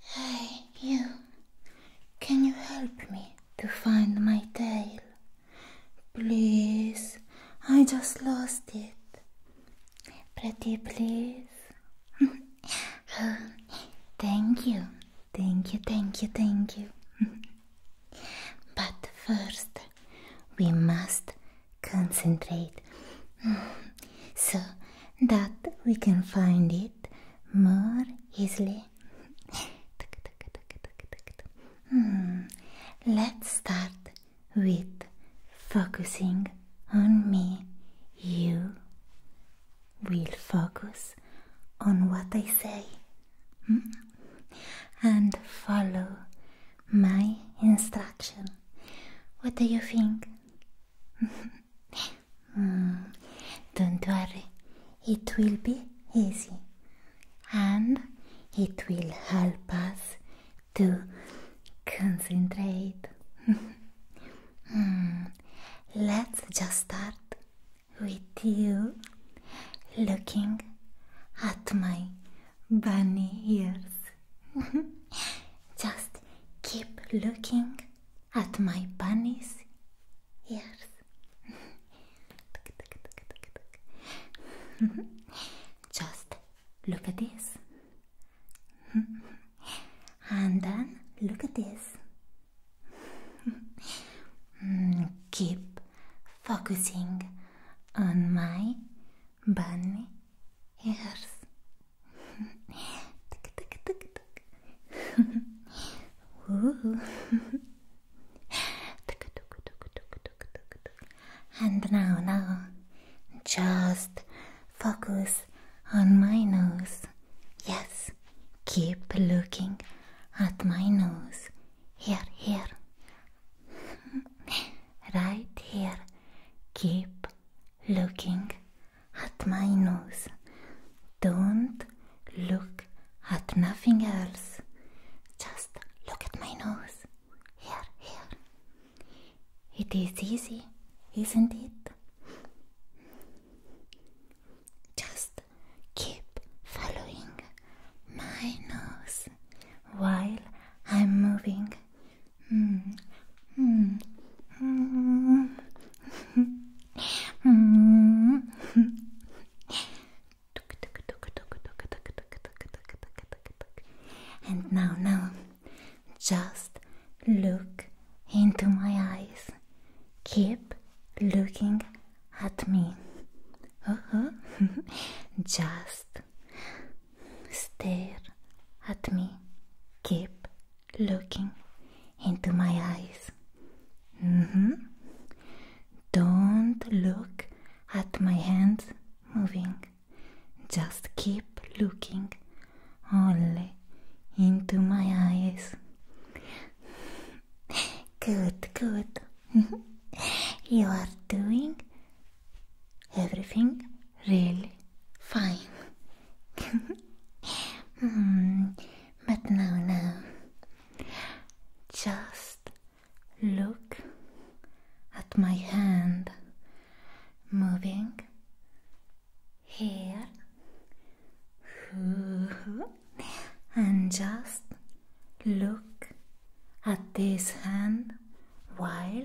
Hey, you. Can you help me to find my tail? Please, I just lost it. Pretty please. thank you. Thank you, thank you, thank you. but first, we must concentrate so that we can find it more easily. Hmm. Let's start with focusing on me. You will focus on what I say hmm? and follow my instruction. What do you think? mm, don't worry, it will be easy. And it will help us to concentrate. mm, let's just start with you looking at my bunny ears. Just keep looking at my bunny's ears. Just look at this. and then look at this. Keep focusing on my bunny ears. tick, tick, tick, tick. Ooh. tick, tick, tick, tick, tick, tick, tick. And now, now, just focus on my nose. Yes, keep looking at my nose. Here, here. right here. Keep looking at my nose. Don't look at nothing else. Just look at my nose. Here, here. It is easy, isn't it? Just keep following my nose while I'm moving Mm. Mm. Mm. mm. and now, now, just look into my eyes. Keep looking at me. Uh -huh. just Stare at me. Keep looking into my eyes. Mm-hmm. Don't look at my hands moving. Just keep looking only into my eyes. Good, good. you are doing everything really fine. mm, but now, now, Just look at my hand moving here and just look at this hand while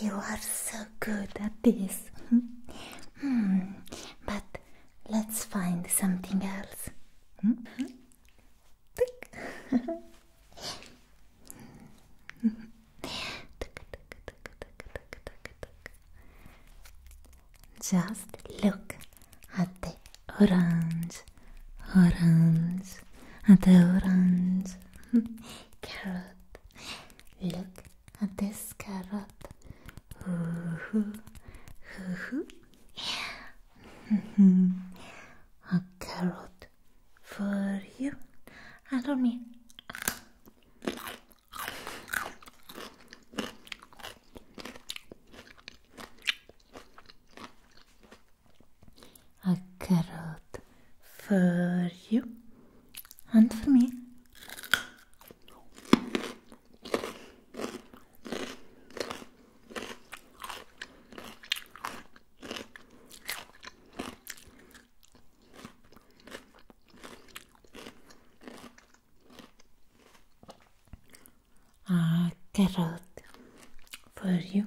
You are so good at this. Hmm. But let's find something else. Hmm? Just look at the orange, orange, at the orange. Hmm. Carrot. Look at this carrot. A carrot for you and for me a carrot for you and for me. A carrot for you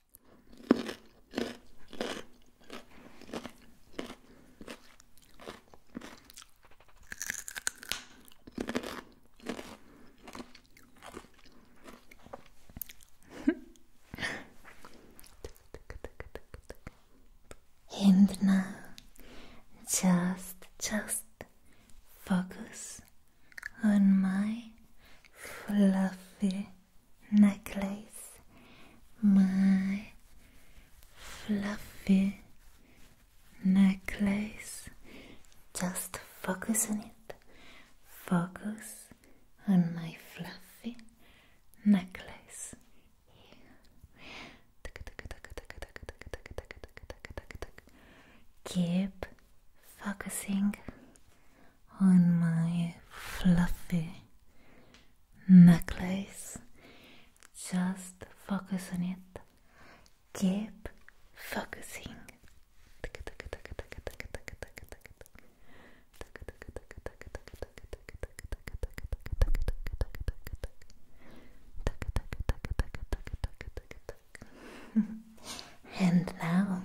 and now just just focus on my fluffy necklace, my fluffy necklace. Just focus on it, focus on my fluffy necklace. Keep focusing on my fluffy necklace. Just focus on it. Keep focusing. And now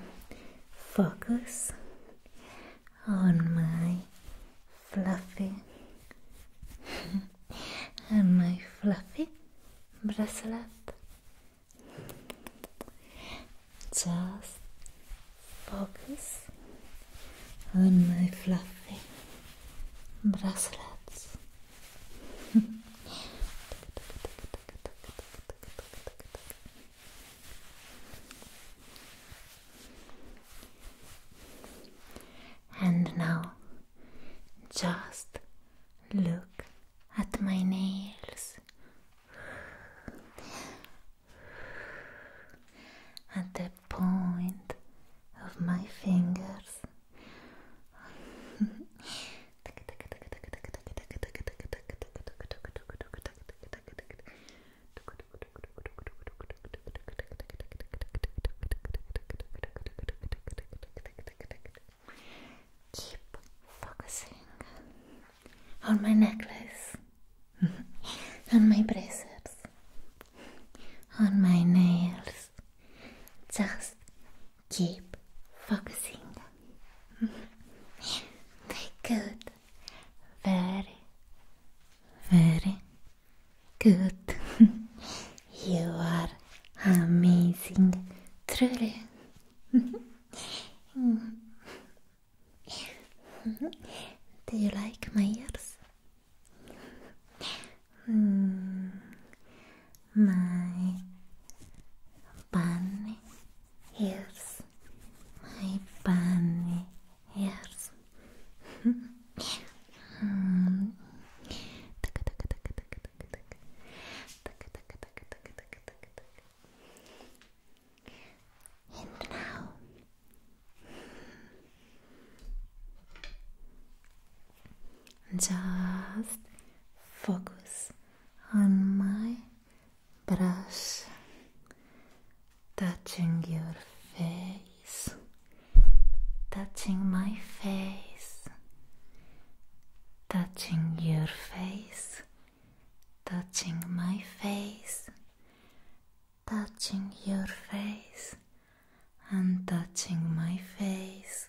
focus on my fluffy and my fluffy bracelet. Just focus on my fluffy bracelets. And now just look at my nails. At the point of my fingers. Keep focusing on my necklace, on my bracelets, on my nails. Just keep focusing good. Very, very good. you are amazing, truly. Do you like my ears? Mm. my bunny ears, my bunny ears. um. And now just focus on my brush touching your face, touching my face, touching your face, touching my face, touching your face, and touching my face.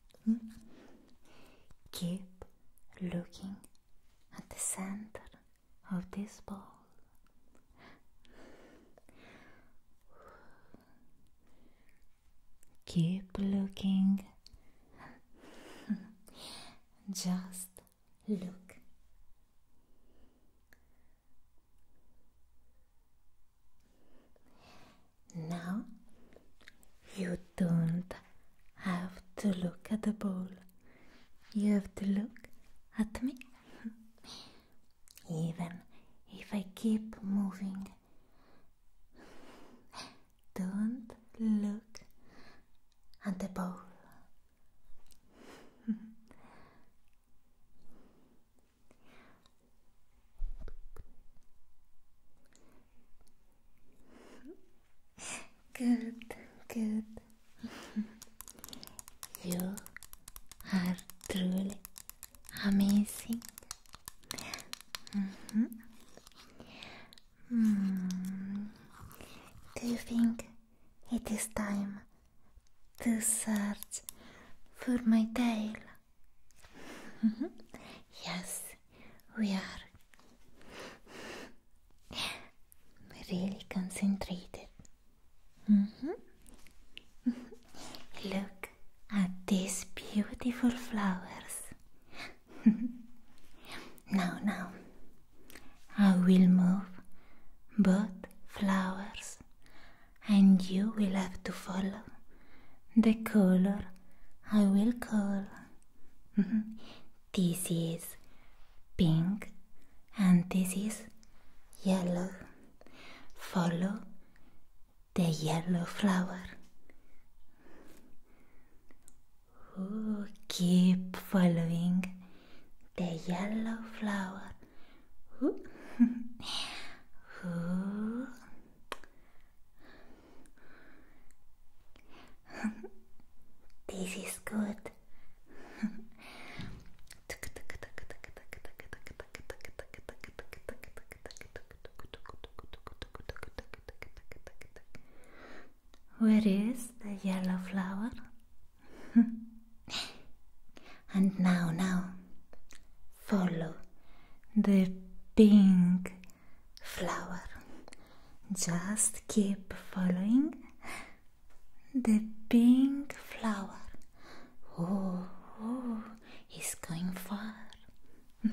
Keep looking at the center of this ball. Keep looking. Just look. Now you don't have to look at the ball. you have to look at me. Even if I keep moving, don't look at the ball. Good, good. you are truly amazing. Mm -hmm. mm. Do you think it is time to search for my tail? Mm-hmm. Yes, we are really concentrated. Mm-hmm. Look at these beautiful flowers. now, now, I will move both flowers, and you will have to follow the color I will call. Mm-hmm. this is pink and this is yellow. Follow the yellow flower. Ooh, keep following the yellow flower. Ooh. this is good. Where is the yellow flower? and now, now, follow the pink flower. Just keep following the pink flower. Oh, oh he's going far.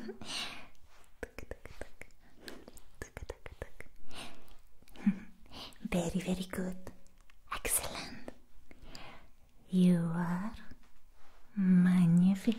very, very good. Excellent. You are magnificent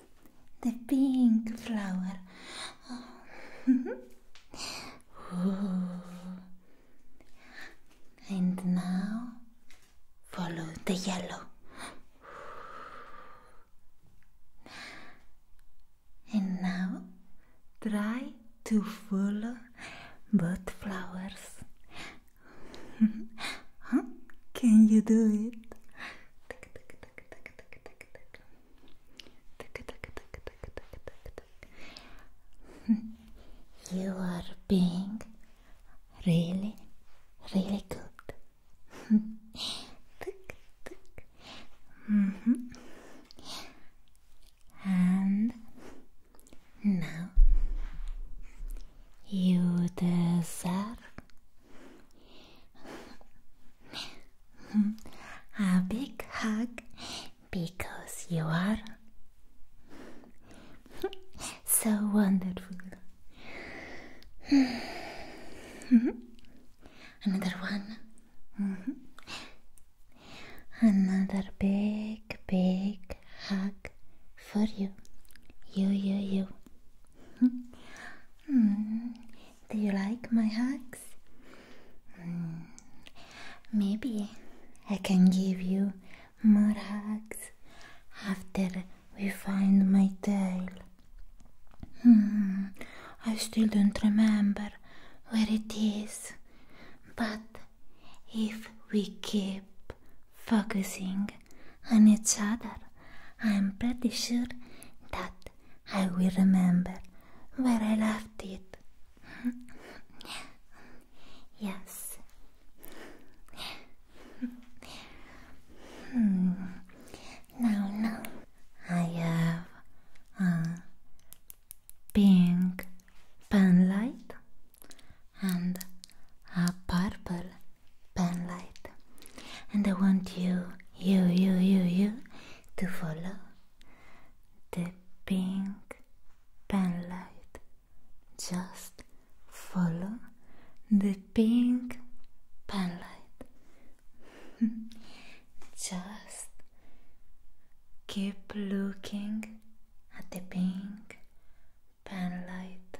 the pink flower. and now follow the yellow. And now try to follow both flowers. Can you do it? you are being really, really good. And now you deserve a big hug because you are so wonderful. Another one. Another big, big hug for you. You, you, you. Hmm. Do you like my hugs? Hmm. Maybe I can give you more hugs after we find my tail. Hmm. I still don't remember where it is. But if we keep focusing on each other. I'm pretty sure that I will remember where I left it. yes. hmm. Now, now I have a pink pen light and a purple special light and I want you, you, you, you, you to follow the pink pen light. Just follow the pink pen light. Just keep looking at the pink pen light.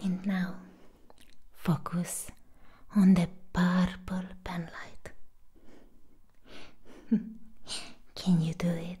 And now focus on the purple pen light. Can you do it?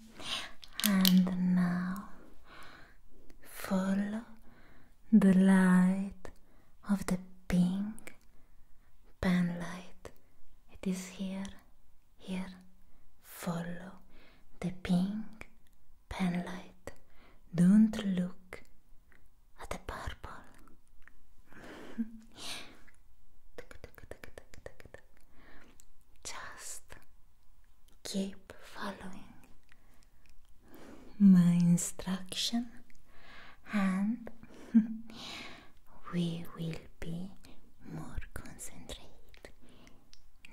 and now follow the light of the pink pen light. It is here, here. Follow the pink pen light. Don't look. Keep following my instruction, and we will be more concentrated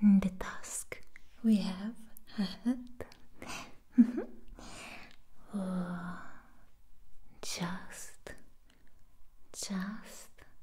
in the task we have ahead. oh, just, just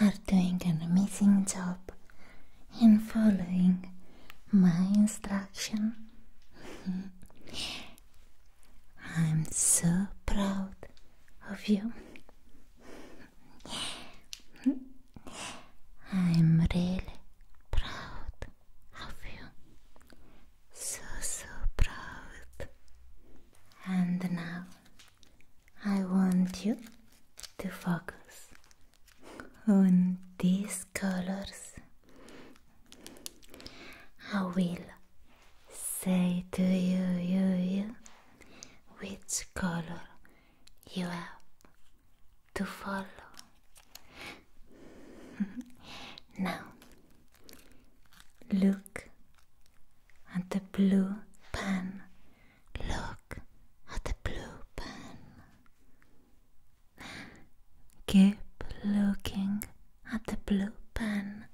are doing an amazing job in following my instruction. I'm so proud of you. I'm really proud of you. So, so proud. And now I want you to focus on these colors. I will say to you, you, you, which color you have to follow. now, look at the blue pen. Look at the blue pen. Keep looking at the blue pen.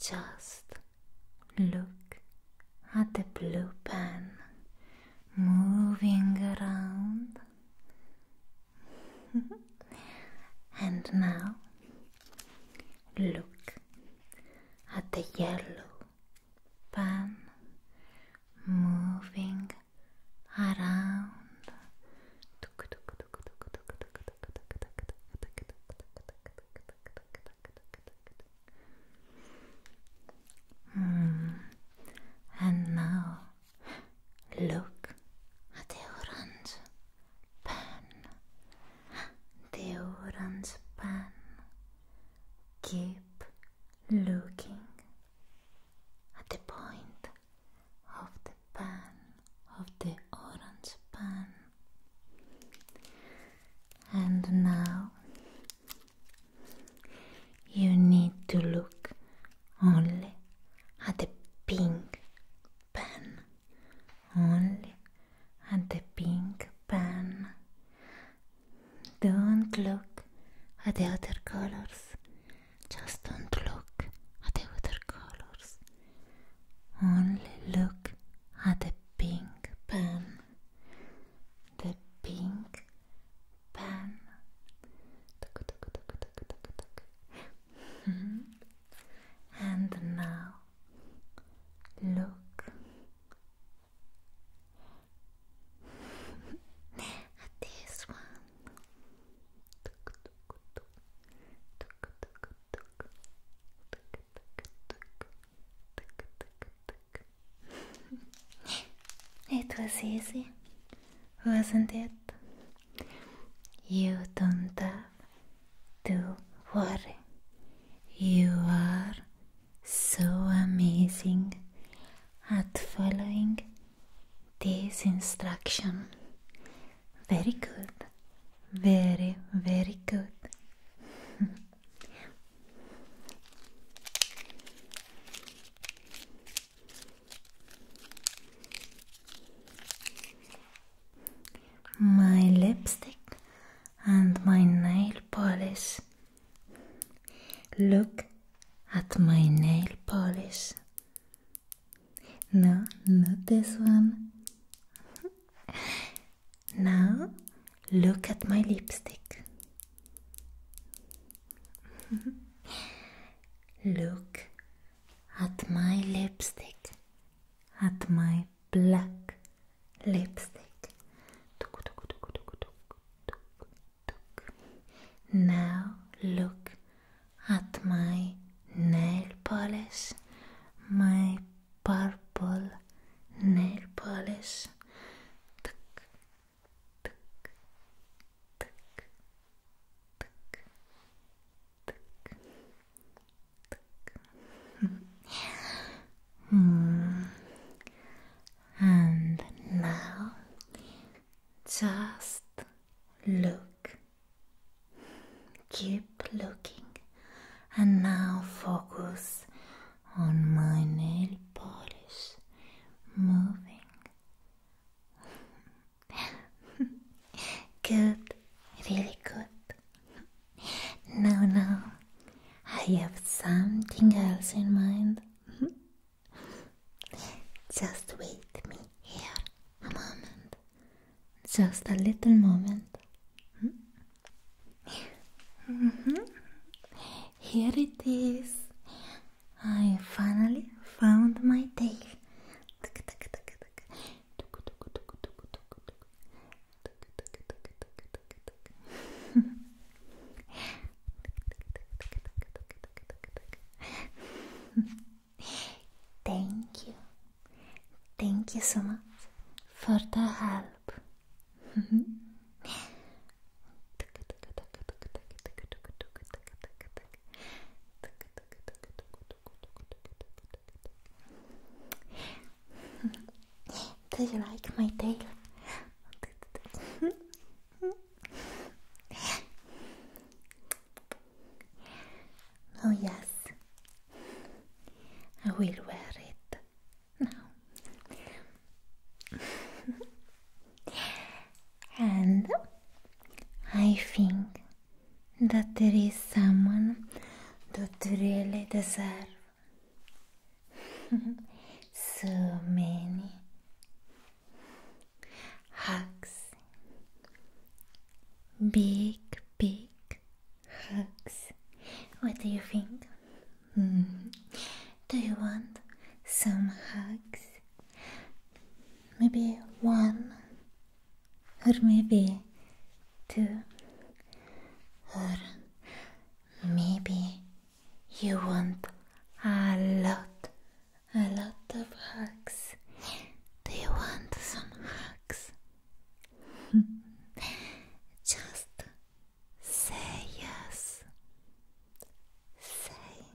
Just look at the blue pen moving around and now look at the yellow pan moving around. Hmm. And now Look at the orange pen. The orange pen. Keep looking at the point of the pen, of the orange pen. And now you need to look only had a pink pen. Only had a pink pen. Don't look at the other colors. Just don't look at the other colors. Only look at the pink pen. The pink pen. Hmm. And now look at this one. it was easy, wasn't it? You don't have to worry. You are so amazing at following this instruction. Very good. Very, very good. Thank you. my lipstick and my nail polish. Look at my nail polish. No, not this one. now look at my lipstick. look at my lipstick, at my black lipstick. Now look at my nail polish, my purple nail polish. Hmm. And now just look. Keep looking. And now focus on my nail polish moving. good, really good. No, no, I have something else in mind. Just wait me here a moment, just a little moment. Here it is. I finally found my tail. tak, tak, tak, tak. Tuk, tuk, tuk, tuk, tuk, tuk. Tuk, tuk, tuk, tuk, tuk, tuk. Thank you. Thank you so much for the help. Do you like my tail? oh, yes, I will wear it now. and I think that there is someone that really deserves so many hugs. Big, big hugs. What do you think? Mm. Do you want some hugs? maybe one or maybe two or maybe you want a lot a lot of hugs do you want some hugs just say yes say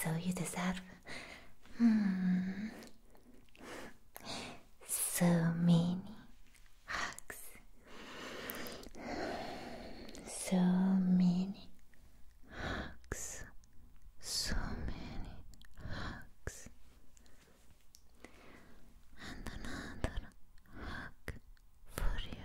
So you deserve mm, so many hugs, so many hugs, so many hugs, and another hug for you.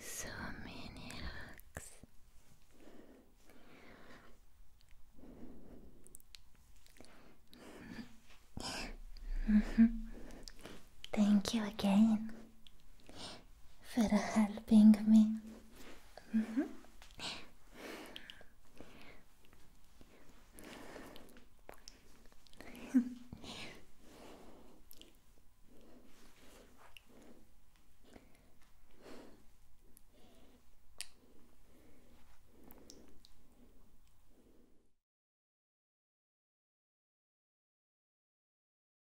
so many hugs. Thank you again for helping me.